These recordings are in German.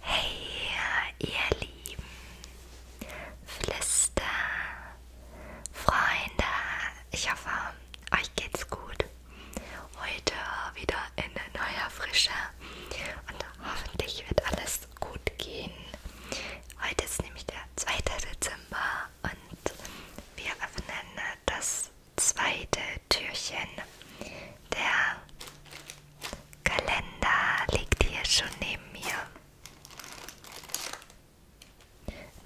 Hey, ihr lieben Flister, Freunde, ich hoffe, euch geht's gut. Heute wieder in neuer Frische und hoffentlich wird alles gut gehen. Heute ist nämlich der 2. Dezember und wir öffnen das zweite Türchen. Der Kalender liegt hier schon neben mir.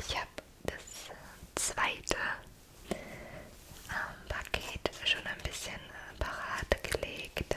Ich habe das äh, zweite ähm, Paket schon ein bisschen äh, parat gelegt.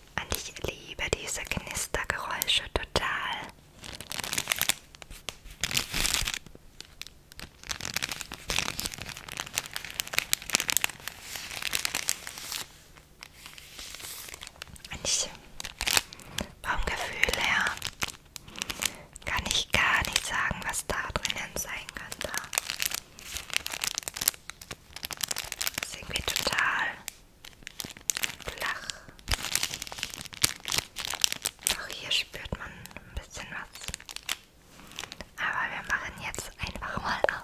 Und ich liebe diese Knistergeräusche total. Und ich, vom Gefühl her, kann ich gar nicht sagen, was da drinnen sein könnte. Das ist irgendwie total flach. Auch hier spürt man ein bisschen was. Aber wir machen jetzt einfach mal auf.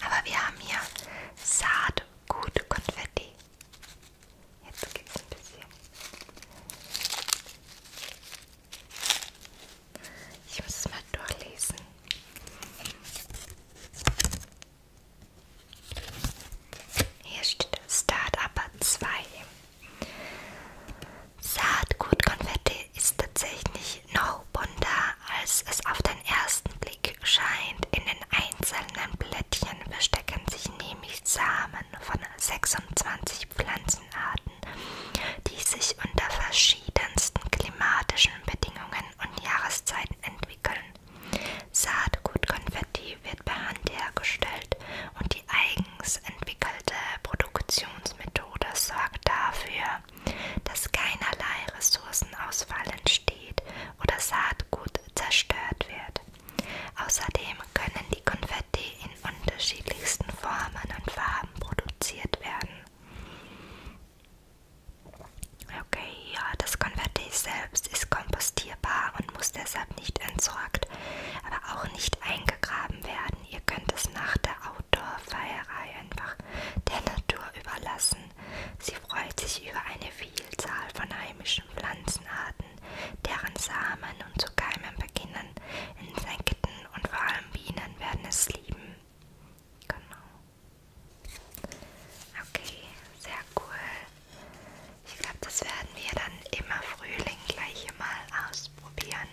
Aber wir haben hier Saatgut-Konfetti. Jetzt gibt es ein bisschen. Ich muss es mal durchlesen. Hier steht Start-Upper 2. Saatgutkonfetti ist tatsächlich noch bunter, als es auf den ersten Blick scheint. In den einzelnen Blättchen verstecken sich nämlich Samen von 26 Pflanzenarten, die sich unter verschiedensten klimatischen Bedingungen und Jahreszeiten entwickeln. Saatgutkonfetti wird per Hand hergestellt und die eigenen eigens entwickelte Produktionsmethode sorgt dafür, dass keinerlei Ressourcenausfall entsteht oder Saatgut zerstört wird. Außerdem können die Konfetti in unterschiedlichsten Formen und Farben produziert werden. Okay, ja, das Konfetti selbst ist kompostierbar und muss deshalb nicht entsorgt, aber auch nicht eingegraben werden werden. Ihr könnt es nach der Outdoor-Feierei einfach der Natur überlassen. Sie freut sich über eine Vielzahl von heimischen Pflanzenarten, deren Samen und zu Keimen beginnen. Insekten und vor allem Bienen werden es lieben. Genau. Okay, sehr cool. Ich glaube, das werden wir dann immer Frühling gleich mal aus ausprobieren.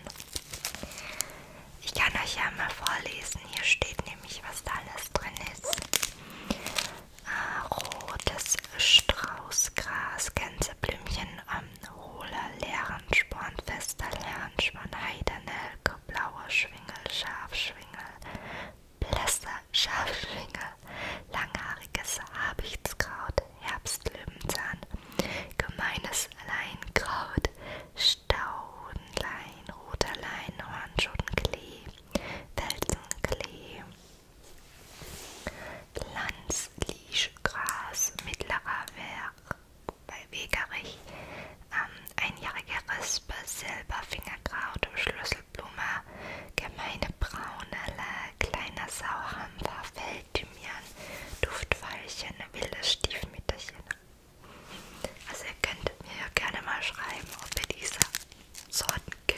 Ich kann euch ja mal vorlesen. Hier steht nämlich, was da alles drin ist. Äh, rotes Straußgras, Gänseblümchen, ähm, hohler Lehrensporn, fester Lehrensporn, Heidernelke, blauer Schwingel, Schafschwingel, blässer Schafschwingel, langhaariges Habichtskraut, Herbstlöwenzahn, gemeines Leinkraut, Staudenlein, roter Leinhorn, Schottenklee, Felsenklee, Landslischgras, mittlerer Werk bei Wegerich, ähm, einjährige Rispe, Silberfingerkraut, Schlüsselblume, gemeine Braunelle, kleiner Sauerhampfer, Feld Thymian, Duftweilchen, wildes Stiefmütterchen. Also ihr könnt mir ja gerne mal schreiben, ob ihr diese Sorten kennt.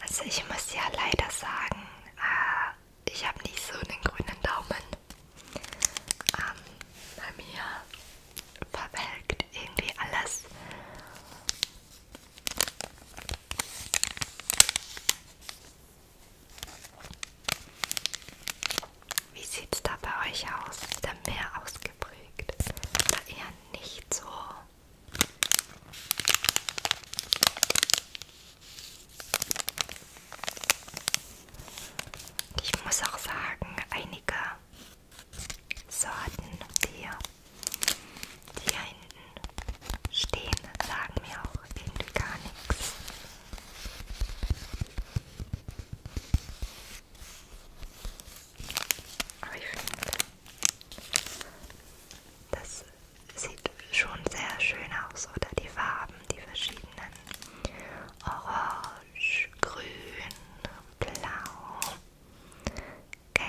Also ich muss ja leider sagen, äh, ich habe nicht so einen grünen Daumen. Ähm, bei mir verwelkt irgendwie alles. Wie sieht's da bei euch aus? Ist da mehr ausgeprägt? Oder eher nicht so? Ich muss auch sagen, einige Sorten, die hier, die hier hinten stehen, sagen mir auch irgendwie gar nichts. Aber ich finde, das sieht schon sehr schön aus, oder? Die Farben, die verschiedenen. Orange, grün, blau, gelb.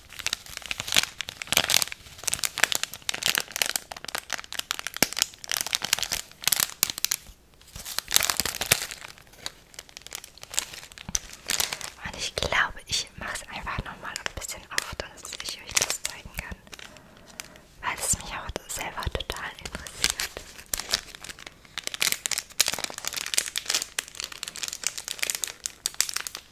Und ich glaube, ich mache es einfach nochmal ein bisschen auf, dass ich euch das zeigen kann. Weil es mich auch selber total interessiert.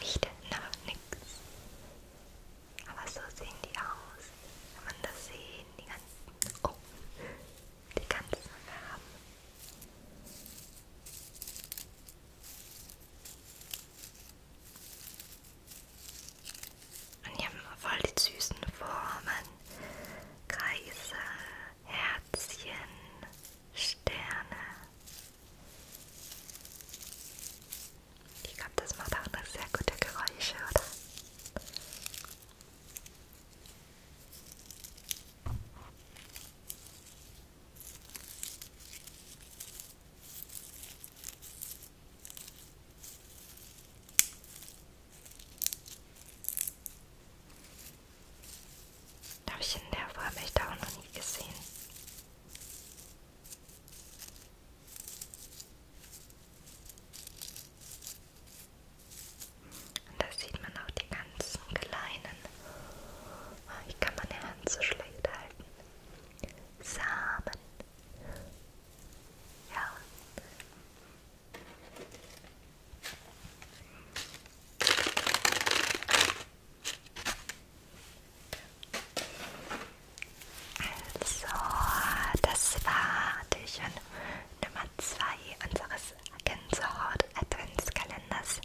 Riecht nach nichts. Aber so sehen die aus. Kann man das sehen? Die ganzen. Oh, die ganzen Farben. Und die haben voll die süßen Formen. Kreise, Herzchen, Sterne. Ich glaube, das macht auch noch sehr gute Geräusche, oder? Habe ich in der Form echt auch noch nie gesehen. Und da sieht man auch die ganzen kleinen. Oh, ich kann meine Hand so schlecht halten. Samen. Ja, so, das war Türchen Nummer 2 unseres Gänsehaut Adventskalenders.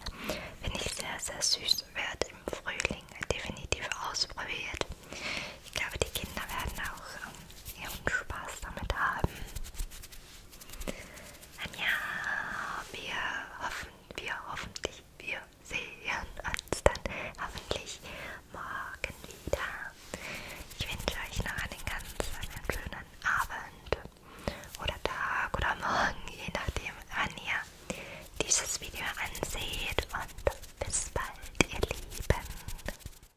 Finde ich sehr, sehr süß. Wird im Frühling definitiv ausprobiert ich glaube, die Kinder werden auch ähm, ihren Spaß damit haben. Und ja, wir hoffen, wir hoffentlich, wir sehen uns dann hoffentlich morgen wieder. Ich wünsche euch noch einen ganz einen schönen Abend oder Tag oder Morgen, je nachdem, wann ihr dieses Video anseht. Und bis bald, ihr Lieben.